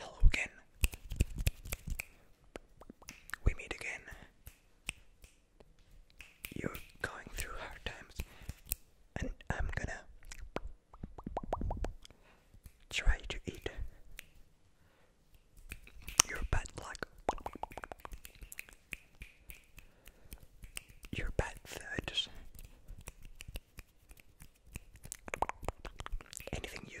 Hello again we meet again. You're going through hard times, and I'm gonna try to eat your bad luck, your bad foods, anything you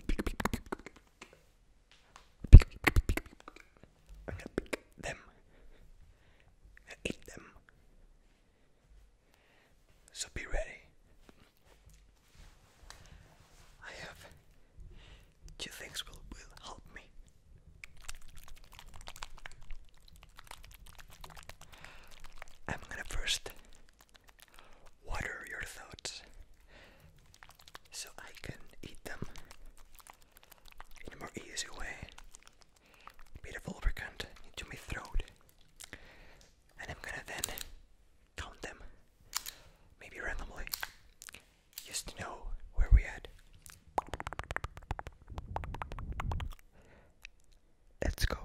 I'm gonna pick them. i them. So be ready. I have two things will will help me. I'm gonna first what your thoughts? So I can eat them in a more easy way. Bit of lubricant into my throat. And I'm gonna then count them, maybe randomly, just to know where we at. Let's go.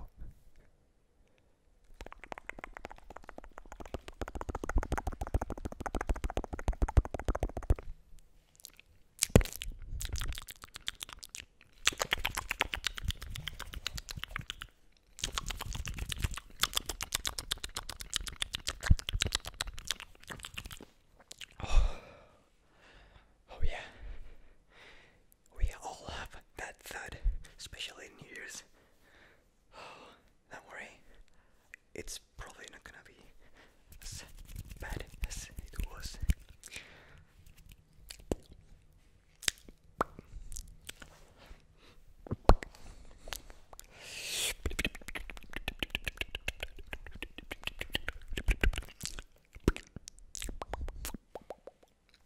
Oh. oh, yeah, we all have that thud, especially in Year's. Don't worry, it's probably not gonna be as bad as it was.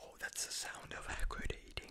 Oh, that's the sound of good eating.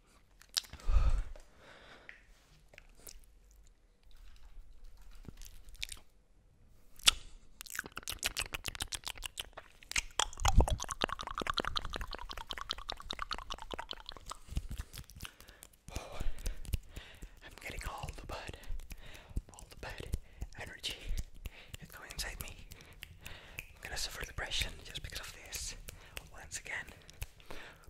I'm getting all the bad, all the bad energy It's going inside me. I'm gonna suffer depression just because of this once again.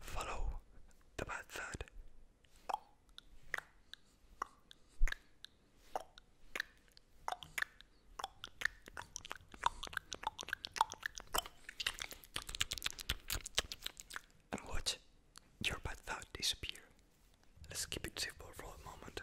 Follow the bad side. And watch your bad thought disappear. Let's keep it simple for a moment.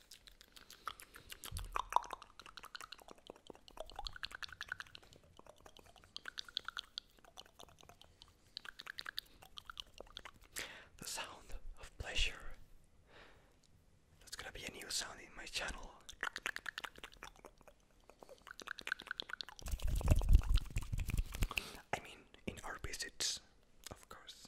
The sound of pleasure. That's gonna be a new sound in my channel. I mean, in our visits, of course.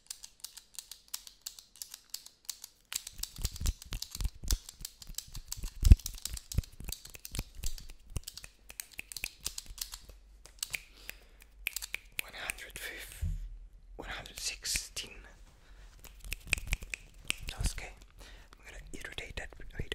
One hundred fifth, one hundred sixteen. That's okay. I'm gonna irritate that. Wait.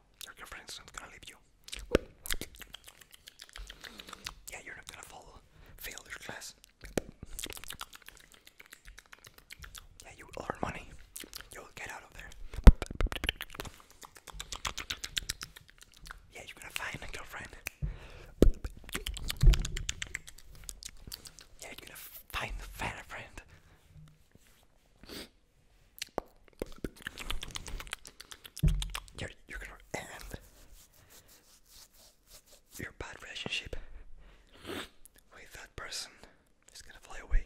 your girlfriend's not gonna leave you. Yeah, you're not gonna fall, fail your class. Yeah, you will earn money. You'll get out of there. Yeah, you're gonna find a girlfriend. Yeah, you're gonna find a friend. You're, you're gonna end your bad relationship that person. It's gonna fly away.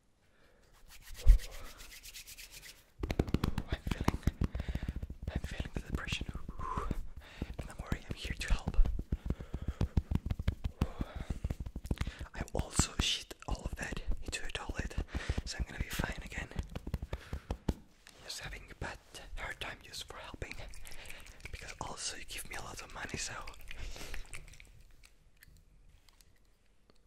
I'm feeling, I'm feeling the depression, and I'm worried I'm here to help. I also shit all of that into a toilet, so I'm gonna be fine again. Just having a bad hard time just for helping, because also you give me a lot of money, so.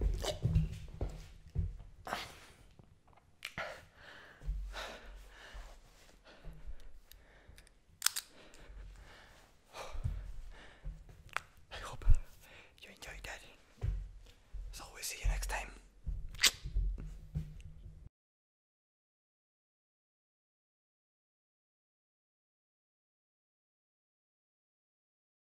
I hope you enjoyed that. So we'll see you next time.